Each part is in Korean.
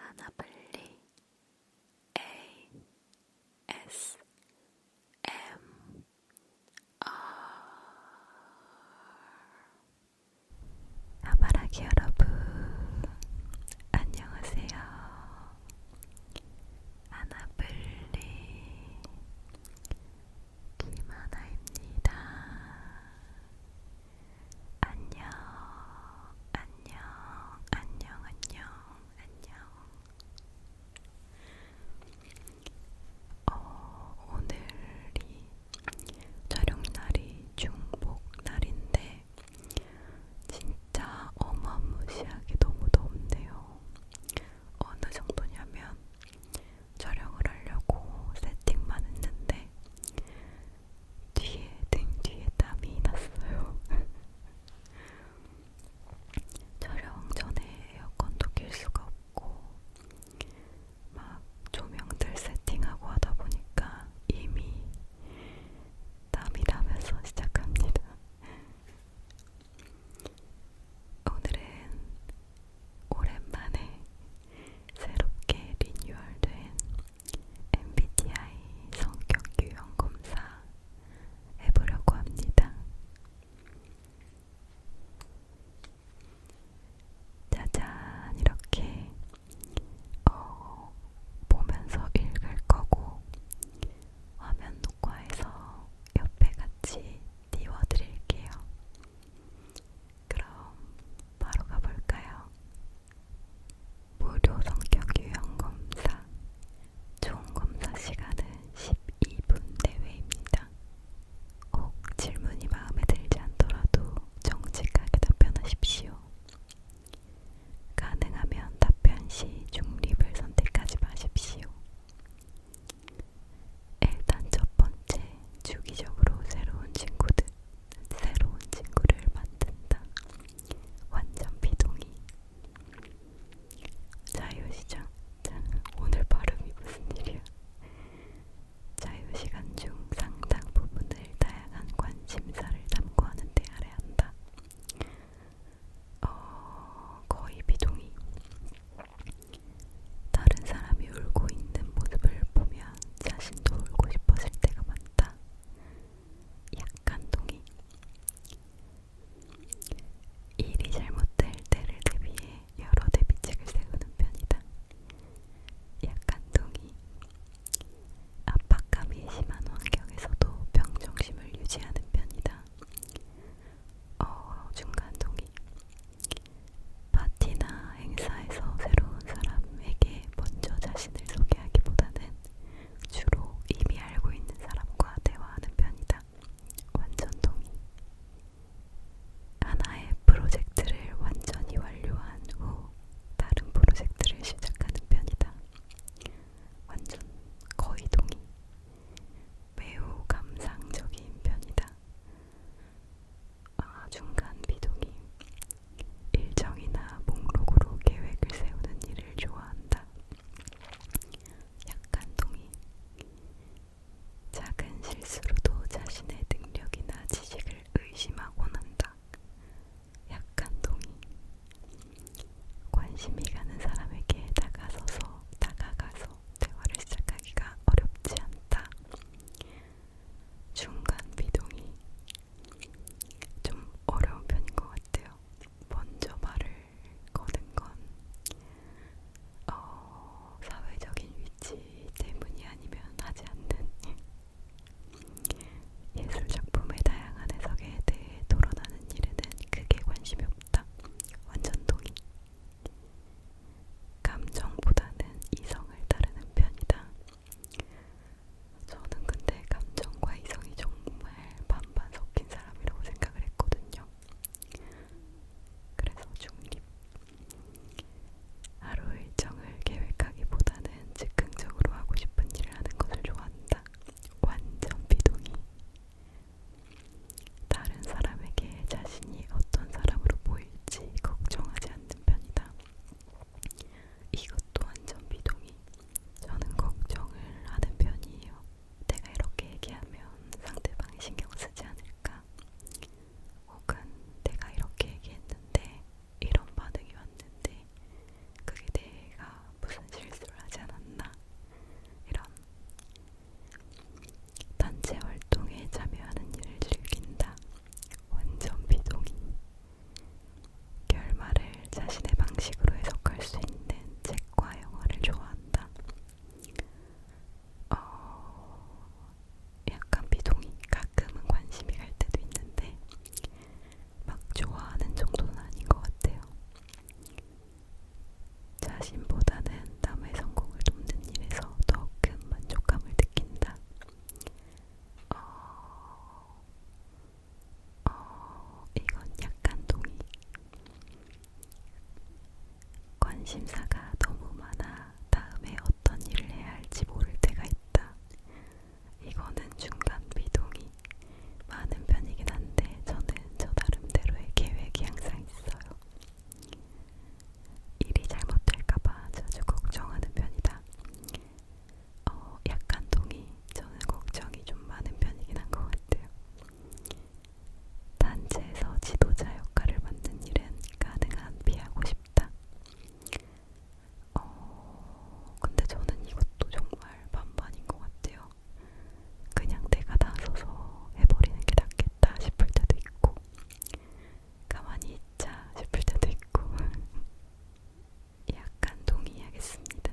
하나빨리 A S M R 아바라기 여러분 안녕하세요. 하나블리 김하나입니다. 안녕, 안녕, 안녕, 안녕, 안녕. 어, 오늘이 촬영날이 중복날인데, 진짜 어마무시하게 너무 덥네요. 어느 정도냐면 촬영을 하려고 세팅만 했는데 뒤에 등 뒤에 땀이 났어요. 촬영 전에 에어컨도 낄 수가 없고 막 조명들 세팅하고 하다 보니까 이미 땀이 나면서 시작합니다. 오늘은 오랜만에 새롭게 리뉴얼된 MBTI 성격 유형 검사 해보려고 합니다. 짜잔, 이렇게 어, 보면서 읽을 거고, 화면 녹화해서 옆에 같이 띄워드릴게요. 그럼 바로 가볼까요? 무료 성격 유형 검사 총 검사 시간은 12분 내외입니다. 혹 질문이 마음에 들지 않더라도 정직하게 답변하십시오. 가능하면 답변 시 중립을 선택하지 마십시오. 일단 첫 번째, 주기적으로 새로운 친구들. 새로운 친구를 만든다. 완전 비동의. 자유시장. 자, 오늘 발음이 무슨 일이야? 자유시간 중 상당 부분을 다양한 관심사를 담고하는 데 아래한다. 어, 거의 비동의. 다른 사람이 울고 있는 모습을 보면 자신도 울고 싶어질 때가 많다. 동의한다. 약간 동의. 일이 잘못될 때를 대비해 여러 대비책을 세우는 편이다. 약간 동의. 압박감이 심한 환경에서도 평정심을 유지하는 편이다. 어, 중간 동의. 파티나 행사에서 새로운 사람에게 먼저 자신을 소개하기보다는 주로 이미 알고 있는 사람과 대화하는 편이다. 완전 동의. 하나의 프로젝트를 완전히 완료한 후 다른 프로젝트를 시작하는 편이다. 완전 거의 동의. 매우 감상적인 편이다. 아, 중간 비동의. 일정이나 목록으로 계획을 세우는 일을 좋아한다. 약간 동의. 작은 실수로도 자신의 능력이나 지식을 의심하곤 한다. 약간 동의. 관심이 가는 사람에게 다가서서 다가가서 대화를 시작하기가 어렵지 않다. 중간 비동이 좀 어려운 편인 것 같아요. 먼저 말을 거는 건 어, 사회적인 위치 때문이 아니면 하지 않는 예술 작품의 다양한 해석에 대해 토론하는 일에는 크게 관심이 없다. 완전 동의. 감정보다는 이성을 따르는 편이다. 저는 근데 감정과 이성이 정말 반반 섞인 사람이라고 생각을 했거든요. 그래서 중립. 하루 일정을 계획하기보다는 즉흥적으로 하고 싶은 일을 하는 것을 좋아한다. 완전 비동의. 다른 사람에게 자신이 어떤 사람으로 보일지 걱정하지 않는 편이다. 이것도 완전 비동의. 저는 걱정을 하는 편이에요. 내가 이렇게 얘기하면 상대방이 신경 쓰지 않을까? 혹은 내가 이렇게 얘기했는데 이런 반응이 왔는데 그게 내가 무슨 실수를 하지 않았나? 이런 단체 활동에 참여하는 일을 즐긴다. 완전 비동의. 결말을 자신의 방식으로 해석할 수 있는 책과 영화를 좋아한다. 어, 약간 비동의, 가끔은 관심이 갈 때도 있는데 막 좋아하는 정도는 아닌 것 같아요. 자신보다는 남의 성공을 돕는 일에서 더 큰 만족감을 느낀다. 어, 어, 이건 약간 동의. 관심사가 너무 많아 다음에 어떤 일을 해야 할지 모를 때가 있다. 이거는 중간 비동의. 많은 편이긴 한데 저는 저 나름대로의 계획이 항상 있어요. 일이 잘못될까봐 자주 걱정하는 편이다. 어, 약간 동의, 저는 걱정이 좀 많은 편이긴 한 것 같아요. 단체에서 지도자 역할을 맡는 일은 가능한 피하고 싶다. 어, 근데 저는 이것도 정말 반반인 것 같아요. 그냥 내가 나서서 해버리는 게 낫겠다 싶을 때도 있고, 가만히 있자 싶을 때도 있고, 약간 동의하겠습니다.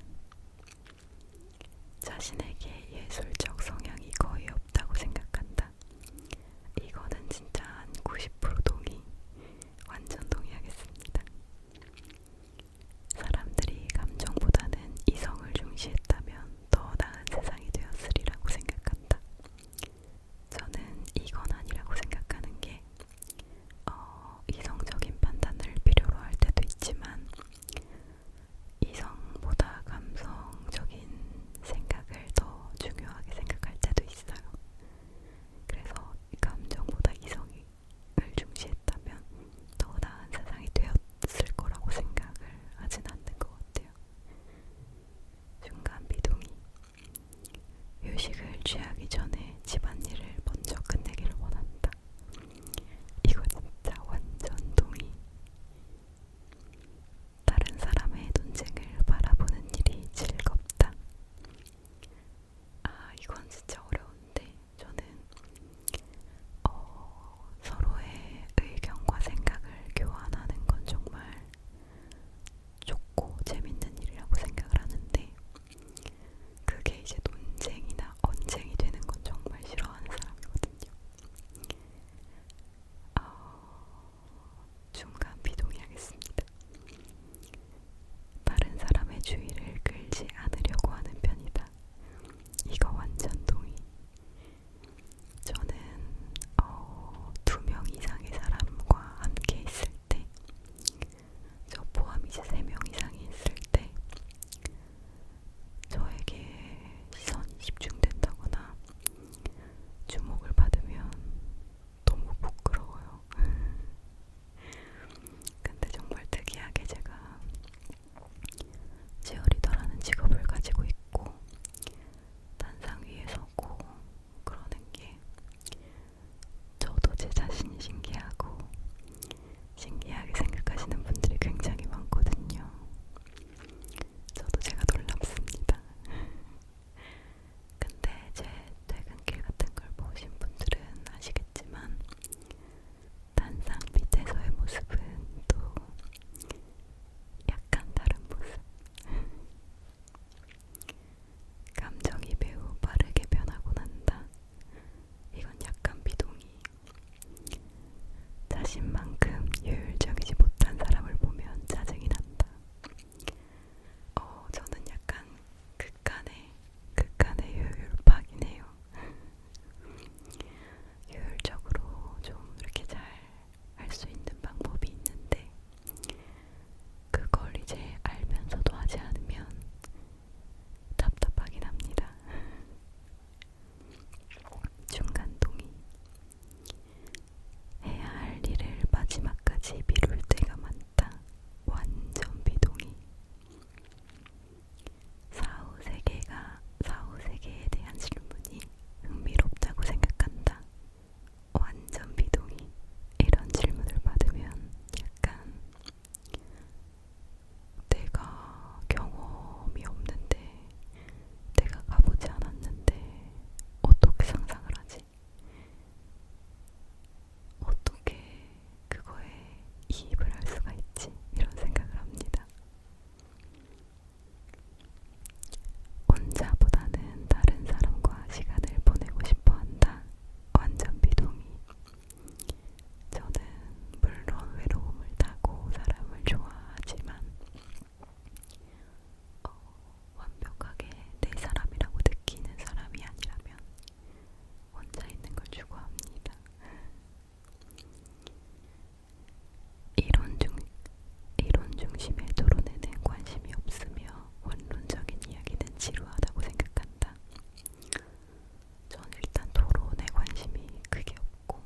자신에게 예술적 성향이 거의 없다고 생각한다. 이거는 진짜 한 90% 동의, 완전 동의하겠습니다. 사람들이 감정보다는 이성을 중시했다면 더 나은 세상이 되었으리라고 생각한다. 저는 이건 아니라고 생각하는 게 어, 이성적인 판단을 필요로 할 때도 있지만 이성보다 감성적인 생각을 더 중요하게 생각할 때도 있어요. 그래서 감정보다 이성을 중시했다면 더 나은 세상이 되었을 거라고 생각을 하진 않는 것 같아요. 중간 비동이 휴식을 취하기 전에 집안일을 먼저 끝내기를 원한다. 이거 진짜 완전 동의. 다른 사람의 논쟁을 바라보는 일이 즐겁다. 아, 이건 진짜 어려운데 저는 어, 서로의 의견과 생각을 교환하는 건 정말 좋고 재밌는 일이라고 생각을 하는데 그게 이제 논쟁이나 언쟁이 되는 건 정말 싫어하는 사람이거든요. 어, 중간 비동의하겠습니다. 다른 사람의 주의를 끌지 않으려고 하는 편이다. 이거 완전 동의. 저는 어, 두 명 이상의 사람과 함께 있을 때, 저 포함 이제 3명 이상이 있을 때, 저에게 시선이 집중된다거나 주목을 받으면 너무 부끄러워요. 근데 정말 특이하게 제가 치어리더라는 직업을 가지고 있고 단상 위에 서고 그러는 게 저도 제 자신이 신기하고 신기하게 생각하시는 분들이 굉장히 많거든요. 저도 제가 놀랍습니다. 근데 제 퇴근길 같은 걸 보신 분들은 아시겠지만 단상 밑에서의 모습은 또 약간 다른 모습. 감정이 매우 빠르게 변하고 난다. 이건 약간 비동의. 자신만큼 효율적이지 못한 사람을 보면 짜증이 난다. 어, 저는 약간 극한의 극한의 효율파이네요. 효율적으로 좀 이렇게 잘 할 수 있는 방법이 있는데 그걸 이제 알면서도 하지 않으면 답답하긴 합니다. 중간 동의. 해야 할 일을 마지막까지 미룰 때가 많다. 완전 비동의. 사후 세계가 사후 세계에 대한 질문이 흥미롭다고 생각한다. 완전 비동의. 이런 질문을 받으면 약간 내가 경험이 없는데, 내가 가보지 않았는데, 어떻게 상상을 하지? 어떻게 그거에 이입을 할 수가 있지? 이런 생각을 합니다. 혼자보다는 다른 사람과 시간을 보내고 싶어 한다. 완전 비동의. 저는 물론 외로움을 타고 사람을 좋아하지만 어, 완벽하게 내 사람이라고 느끼는 사람이 아니라면 혼자 있는 걸 추구합니다. 이론, 중, 이론 중심의 토론에는 관심이 없으며 원론적인 이야기는 지루하다고 생각한다. 전 일단 토론에 관심이 크게 없고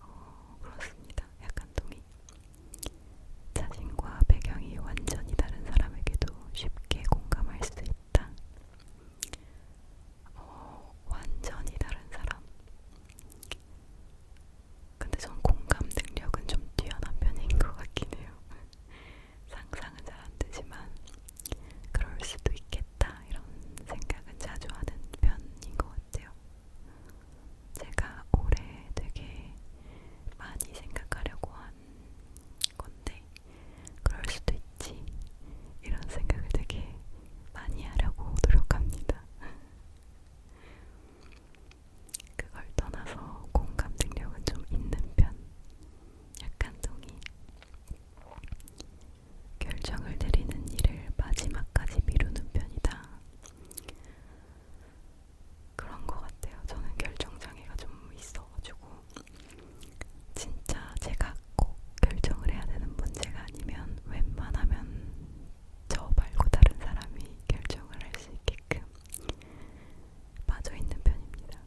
어, 그렇습니다. 약간 동의. 자신과 배경이 완전히 다른 사람에게도 쉽게 공감할 수 있다. 어, 완전히 다른 사람. 근데 전 공감 능력은 좀 뛰어난 편인 것 같긴 해요. 상상은 잘안 되지만 그럴 수도 있겠다 이런 생각은 자주 하는 편인 것 같아요. 제가 올해 되게 많이 생각하려고 한 건데 그럴 수도 있지 이런 생각을 되게 많이 하려고 노력합니다. 그걸 떠나서 공감 능력은 좀 있는 편. 약간 동의. 결정을 내리는 일을 마지막까지 미루는 편이다. 그런 것 같아요. 저는 결정장애가 좀 있어가지고 진짜 제가 꼭 결정을 해야 되는 문제가 아니면 웬만하면 저 말고 다른 사람이 결정을 할 수 있게끔 빠져있는 편입니다.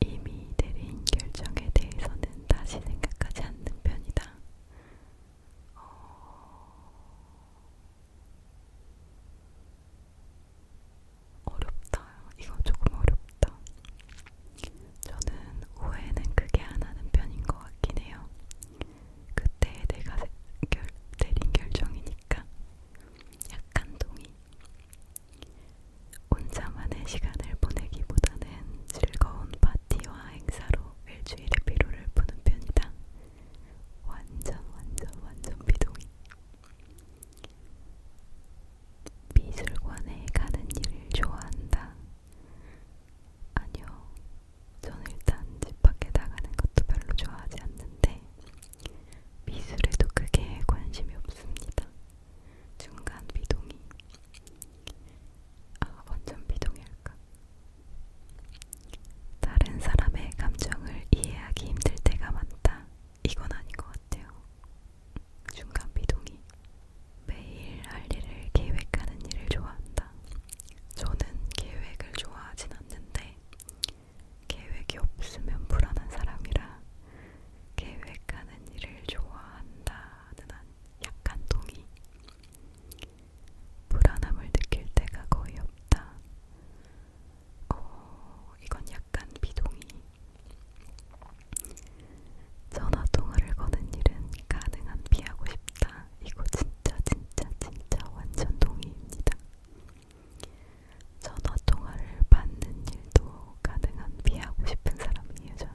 이미 내린 결정에 대해서는 다시 생각하지 않는 편이다. 어, 어렵다. 이거 조금 어렵다. 저는 후회는 크게 안 하는 편인 것 같긴 해요. 그때 내가 결, 내린 결정이니까 약간 동의. 혼자만의 시간을 보내기보다는 즐거운 파티와 행사로 일주일의 피로를 푸는 편이다. 완전 완전 완전 비동의. 미술관에 가는 일을 좋아한다. 아니요, 전 일단 집 밖에 나가는 것도 별로 좋아하지 않는데 미술에도 크게 관심이 없습니다. 중간 비동의, 아 완전 비동의할까? 다른 사람의 감정을 이해하기 힘들 때가 많다. 이건 아닌 것 같아요. 중간 비동의. 매일 할 일을 계획하는 일을 좋아한다. 저는 계획을 좋아하진 않는데 계획이 없으면 불안한 사람이라 계획하는 일을 좋아한다는 약간 동의. 불안함을 느낄 때가 거의 없다. 어, 이건 약간 비동의. 전화 통화를 거는 일은 가능한 피하고 싶다. 이거 진짜 진짜 진짜 완전 동의입니다. 전화 통화를 받는 일도 가능한 피하고 싶은 사람이에요. 저는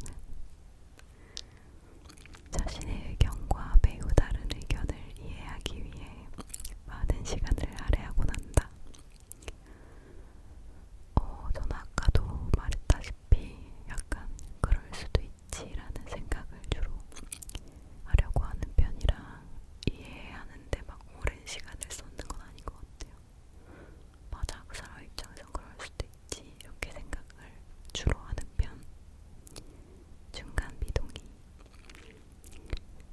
자신의 의견과 매우 다른 의견을 이해하기 위해 많은 시간을 할애하고 난다. 어, 전 아까도 말했다시피 약간 그럴 수도 있지라는 생각을 주로 하려고 하는 편이라 이해하는데 막 오랜 시간을 쏟는 건 아닌 것 같아요. 맞아, 그 사람 입장에서 그럴 수도 있지. 이렇게 생각을 주로 하는 편. 중간 비동의.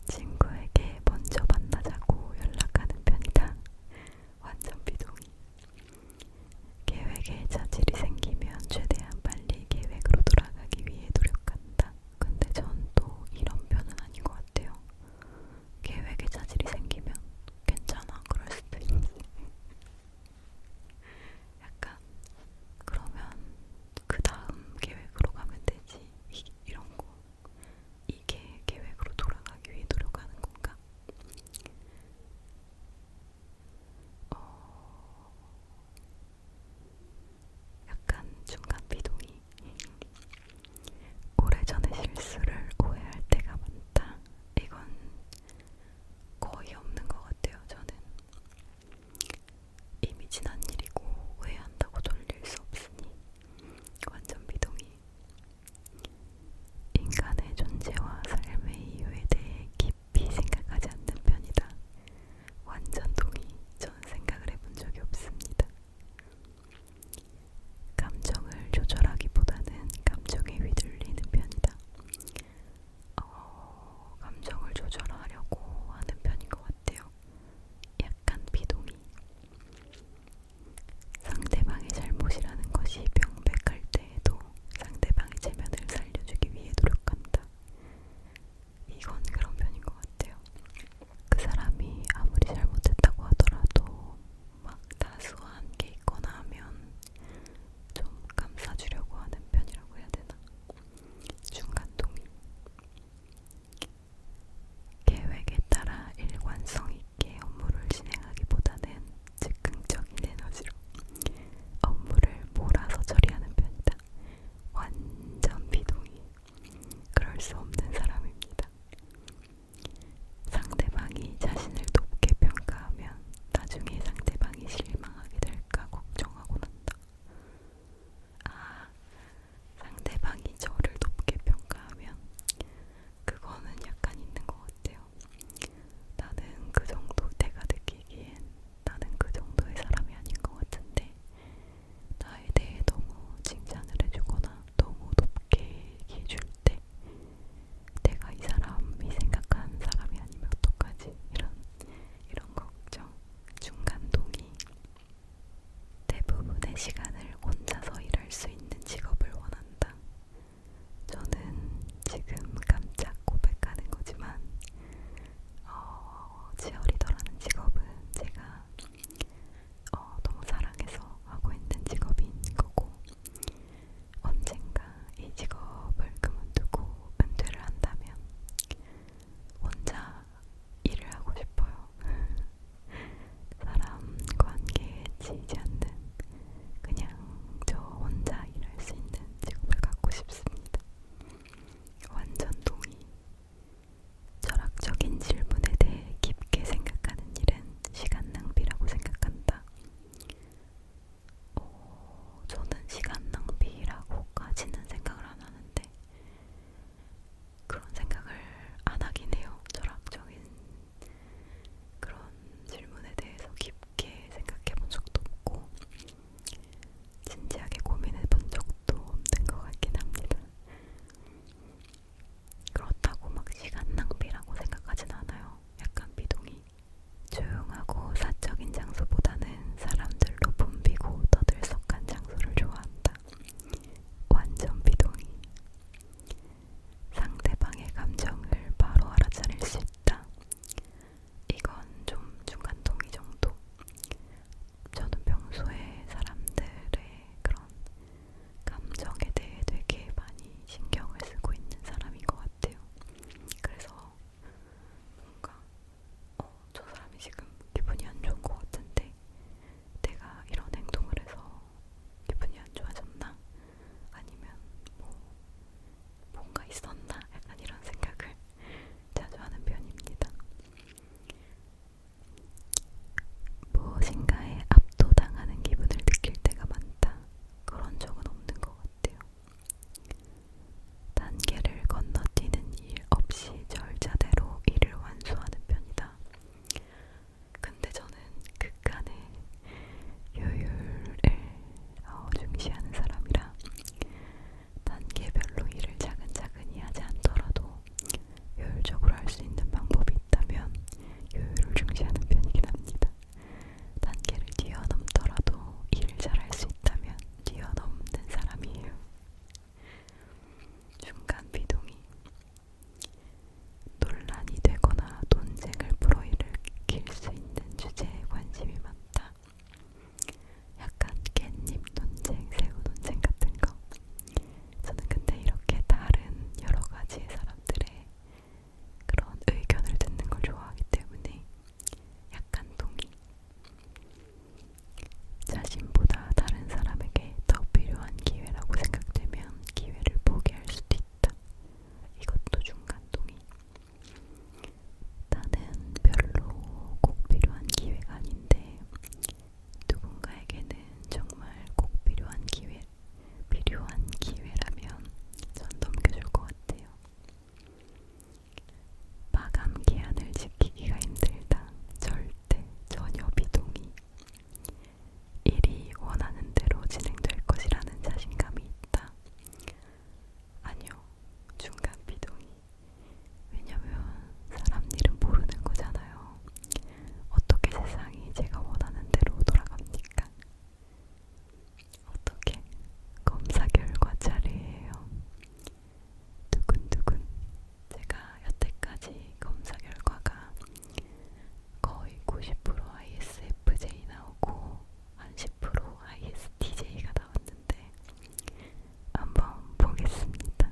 친구에게 먼저 만나자고 연락하는 편이다. 완전 비동의. 계획에 자질이 생기면 최대한 빨리 계획으로 돌아가기 위해 노력한다. 근데 전 또 이런 편은 아닌 것 같아요. 계획에 자질이 생기면 괜찮아 그럴 수도 있지. 약간 그러면 그 다음 계획으로 가면 되지. 이, 이런 거 이게 계획으로 돌아가기 위해 노력하는 건가? 어... 약간 중간 비동이 오래전에 실수를 오해할 때가 많다. 이건 거의 없는 것 같아요. 저는 이미 지난 일이고 오해한다고 돌릴 수 없으니 완전 비동의. 인간의 존재와 삶의 이유에 대해 깊이 생각하지 않는 편이다. 완전 동의. 전 생각을 해본 적이 없습니다. 감정을 조절하기보다는 감정에 휘둘리는 편이다. 어, 감정을 조절하려고 하는 편인 것 같아요. 약간 비동의. 상대방의 잘못이라는 것이 명백할 때에도 상대방의 체면을 살려주기 위해 노력한다. 이건 그런 편인 것 같아요. 그 사람이 아무리 잘못했다고 하더라도 막 다소한 게 있거나 하면 좀 감싸주려고 하는 편이라고 해야 되나? 중간동의. 계획에 따라 일관성 있게 업무를 진행하기보다는 즉흥적인 에너지로 업무를 몰아서 처리하는 편이다. 완전 비동의. 그럴 수 없는 사람입니다. 상대방이 자신을 높게 평가하면 나중에 상대방이 실망하게 될까 걱정하고 난다. 아, 상대방이 저를 높게 평가하면 그거는 약간 있는 것 같아요. 나는 그 정도 내가 느끼기엔 나는 그 정도의 사람이 아닌 것 같은데 나에 대해 너무 칭찬을 해주거나 너무 높게 얘기해줄 때 내가 이 사람이 생각한 사람이 아니면 어떡하지? 이런, 이런 걱정, 중간 동의 대부분의 시간을 혼자서 일할 수 있는 직업을 원한다. 저는 지금 깜짝 고백하는 거지만 어, 치어리더라는 직업은 제가 어, 너무 사랑해서 하고 있는 직업인 거고 언젠가 이 직업을 그만두고 은퇴를 한다면 혼자 일을 하고 싶어요. 사람 관계에 지지 않는 그냥 저 혼자 일할 수 있는 직업을 갖고 싶습니다. 완전 동의. 철학적인 질문에 대해 깊게 생각하는 일은 시간 낭비라고 생각한다. 어, 저는 시간 낭비라고까지는 생각을 안 하는데 그런 생각을 안 하긴 해요. 철학적인 그런 질문에 대해서 깊게 생각해 본 적도 없고 진지하게 고민해 본 적도 없는 것 같긴 합니다. 그렇다고 막 시간 낭비라고 생각하진 않아요. 약간 비동의. 조용하고 사적인 장소보다는 사람들로 붐비고 떠들썩한 장소를 좋아한다. 완전 비동의. 상대방의 감정을 바로 알아차릴 수 있다. 이건 좀 중간동의 정도. 저는 평소에 사람들의 그런 감정에 대해 되게 많이 신경을 쓰고 있는 사람인 것 같아요. 그래서 뭔가 어, 저 사람이 지금 기분이 안 좋은 것 같은데 내가 이런 행동을 해서 기분이 안 좋아졌나? 아니면 뭐 뭔가 있었나? 약간 이런 생각을 자주 하는 편입니다. 무엇인가에 압도당하는 기분을 느낄 때가 많다. 그런 적은 없는 것 같아요. 단계를 건너뛰는 일 없이 절차대로 일을 완수하는 편이다. 근데 저는 극간의 효율을 어, 중시하는 사람이라 단계별로 일을 차근차근히 하지 않더라도 효율적으로 할 수 있는 방법이 있다면 효율을 중시하는 편이긴 합니다. 단계를 뛰어넘더라도 일을 잘 할 수 있다면 뛰어넘는 사람이에요. 중간 비동의 논란이 되거나 논쟁을 불어일으킬 수 있는 주제에 관심이 많다. 약간 깻잎 논쟁, 새우 논쟁 같은 거. 저는 근데 이렇게 다른 여러 가지 사람들의 그런 의견을 듣는 걸 좋아하기 때문에 약간 동의. 자신보다 다른 사람에게 더 필요한 기회라고 생각되면 기회를 포기할 수도 있다. 이것도 중간 동의. 나는 별로 꼭 필요한 기회가 아닌데 누군가에게는 정말 꼭 필요한 기회, 필요한 기회라면 전 넘겨줄 것 같아요. 마감 기한을 지키기가 힘들다. 절대 전혀 비동의. 일이 원하는 대로 진행될 것이라는 자신감이 있다. 아니요, 중간 비동의. 왜냐면 사람 일은 모르는 거잖아요. 어떻게 세상이 제가 원하는 대로 돌아갑니까? 어떻게 검사 결과 자리예요. 두근두근 제가 여태까지 검사 결과가 거의 90% ISFJ 나오고 한10% ISTJ가 나왔는데 한번 보겠습니다.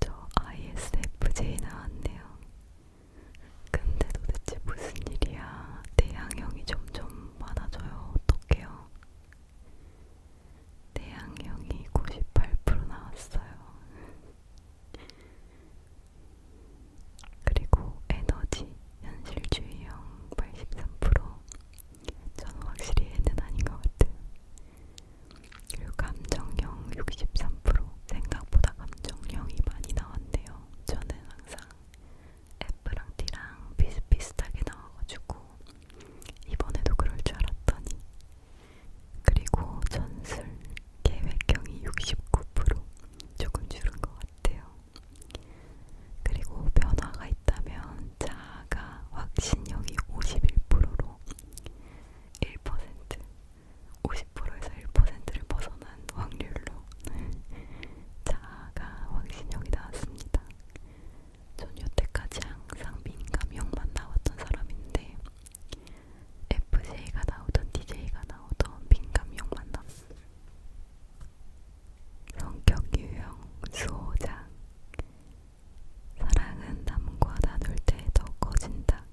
저 ISFJ 나왔네요. 근데 도대체 무슨 일이야? 대양형이 점점 많아져요. 어떡해요? 대양형이 98% 나왔어요. 그리고 에너지, 현실주의형 83%, 저는 확실히 애는 아닌 것 같아요. 그리고 감정형 63% 생각보다 감정형이 많이 나왔네요. 저는 항상 F랑 T랑 비슷비슷하게 나와가지고 이번에도 그럴 줄 알았더니 그리고 전술 계획형이 69% 조금 줄은 것 같아요. 그리고 변화가 있다면 자 하나가 확신력이 51%로 1% 50%에서 1%를 벗어난 확률로 자아가 확신력이 나왔습니다. 전 여태까지 항상 민감형만 나왔던 사람인데 FJ가 나오던 DJ가 나오던 민감형만 나 성격 유형, 수호자, 사랑은 남과 나눌 때 더 커진다.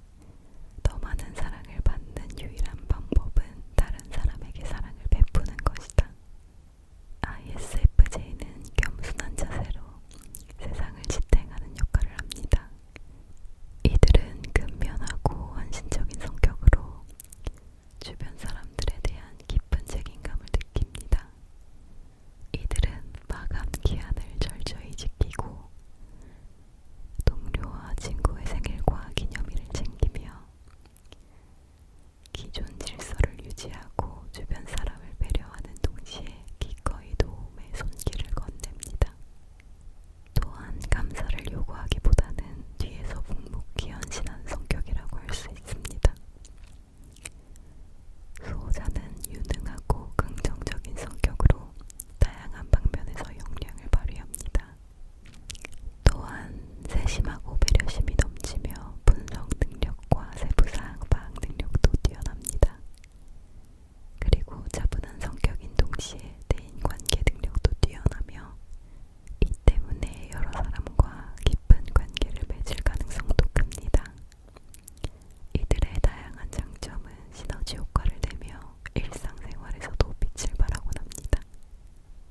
더 많은 사랑을 받는 유일한 방법은 다른 사람에게 사랑을 베푸는 것이다. ISFJ는 겸손한 자세로 세상을 지탱하는 역할을 합니다. 이들은 근면하고 헌신적인 성격으로 주변 사람들에 대한 깊은 책임감을 느낍니다. 이들은 마감 기한을 철저히 지키고 동료와 친구의 생일과 기념일을 챙기며 기존 질서를 유지하고 주변 사람을 배려하는 동시에 기꺼이 도움의 손길을 건넵니다. 또한 감사를 요구하기보다는 뒤에서 묵묵히 헌신한 성격이라고 할 수 있습니다. 수호자는 유능하고 긍정적인 성격으로 다양한 방면에서 역량을 발휘합니다. 또한 세심하고 배려심이 넘치며 분석 능력과 세부사항 파악 능력도 뛰어납니다. 그리고 차분한 성격인 동시에 대인관계 능력도 뛰어나며 이 때문에 여러 사람과 깊은 관계를 맺을 가능성도 큽니다. 이들의 다양한 장점은 시너지 효과를 내며 일상생활에서도 빛을 발하곤합니다.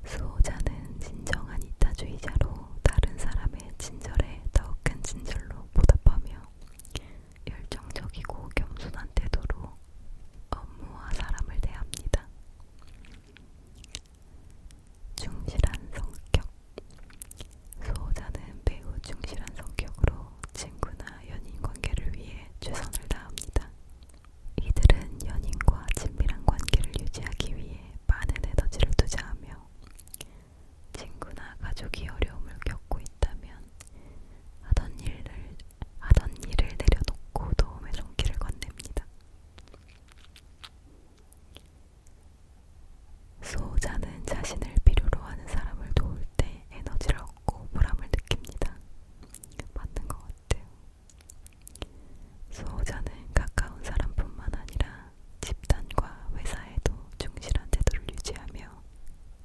수호자는 진정한 이타주의자로 다른 사람의 친절에 더 큰 친절로 보답하며 열정적이고 겸손한 태도로 업무와 사람을 대합니다. 충실한 성격 수호자는 매우 충실한 성격으로 친구나 연인 관계를 위해 최선을 다합니다. 이들은 연인과 친밀한 관계를 유지하기 위해 많은 에너지를 투자하며 친구나 가족이 어려움을 겪고 있다면 하던 일을 하던 일을 내려놓고 도움의 손길을 건넵니다. 수호자는 자신을 필요로 하는 사람을 도울 때 에너지를 얻고 보람을 느낍니다. 맞는 것 같아요. 수호자는 가까운 사람뿐만 아니라 집단과 회사에도 충실한 태도를 유지하며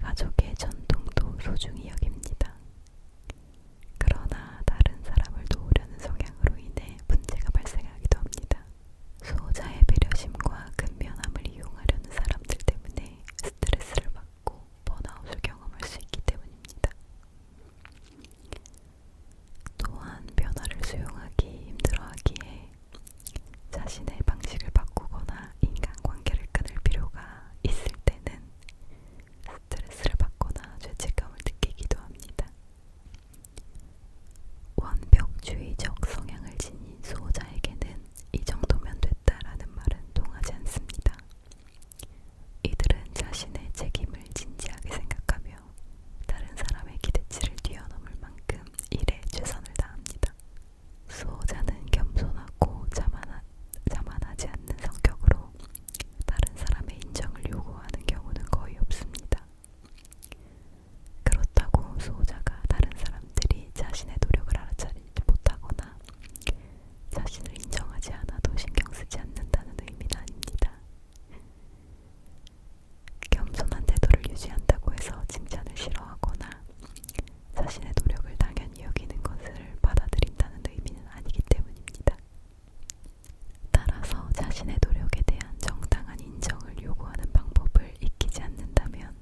가족의 전통도 소중히 여깁니다. 그러나 다른 사람을 도우려는 성향으로 인해 문제가 발생하기도 합니다. 소호자의 배려심과 근면함을 이용하려는 사람들 때문에 스트레스를 받고 번아웃을 경험할 수 있기 때문입니다. 또한 변화를 수용하기 힘들어하기에 자신의 방식을 바꾸거나 인간관계를 끊을 필요가 있을 때는 스트레스를 받거나 죄책감을 느끼기도 합니다. 완벽주의적 성향을 지닌 수호자에게는 이 정도면 됐다라는 말은 통하지 않습니다. 이들은 자신의 책임을 진지하게 생각하며 다른 사람의 기대치를 뛰어넘을 만큼 일에 최선을 다합니다. 수호자는 겸손하고 자만하, 자만하지 않는 성격으로 다른 사람의 인정을 요구하는 경우는 거의 없습니다. 그렇다고 수호자가 다른 사람들이 자신의 노력을 알아차리지 못하거나 자신을 인정하지 않아도 신경 쓰지 않는다는 의미는 아닙니다. 겸손한 태도를 유지한다고 해서 칭찬을 싫어하거나 자신의 노력을 당연히 여기는 것을 받아들인다는 의미는 아니기 때문입니다. 따라서 자신의 노력에 대한 정당한 인정을 요구하는 방법을 익히지 않는다면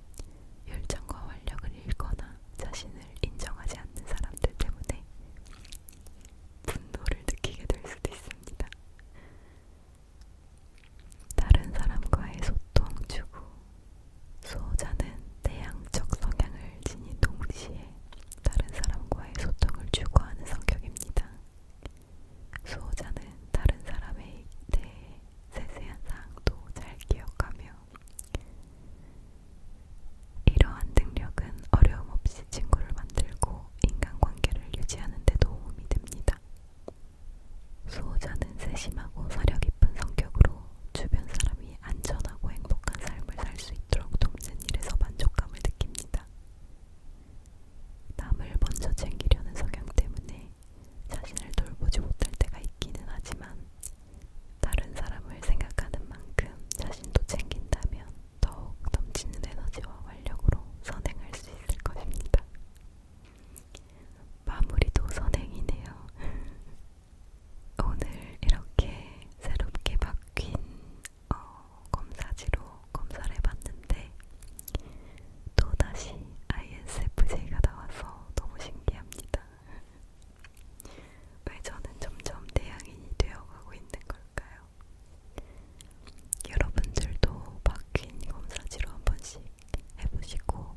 열정과 활력을 잃거나 자신을 인정하지 않는 사람들 때문에 분노를 느끼게 될 수도 있습니다. 다른 사람과의 소통, 주고 수호자는 내향적 성향을 지닌 동시에 다른 사람과의 소통을 추구하는 성격입니다. 수호자는 다른 사람에 대해 세세한 사항도 잘 기억하며 이러한 능력은 어려움 없이 친구를 만들고 인간관계를 유지하는 데 도움이 됩니다. 수호자는 세심하고 사려 깊은 성격으로 주변 사람이 안전하고 행복한 삶을 살 수 있도록 돕는 일에서 만족감을 느낍니다. 남을 먼저 챙기려는 성향 때문에 자신을 돌보지 못할 때가 있기는 하지만 다른 사람을 생각하는 만큼 자신도 챙긴다면 더욱 넘치는 에너지와 활력으로 선행할 수 있을 것입니다. 마무리도 선행이네요. 오늘 이렇게 새롭게 바뀐 어, 검사지로 검사를 해봤는데 또다시 ISFJ가 나와서 너무 신기합니다. 왜 저는 점점 대양인이 되어가고 있는 걸까요? 여러분들도 바뀐 검사지로 한 번씩 해보시고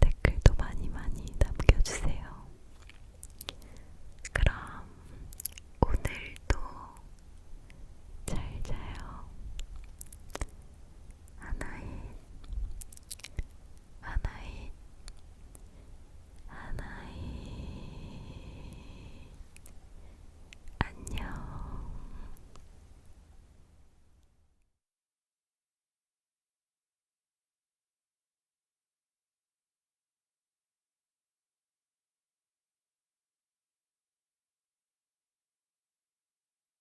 댓글도 많이 많이 남겨주세요. 그럼 오늘도 잘 자요. 하나인 하나인 하나인 안녕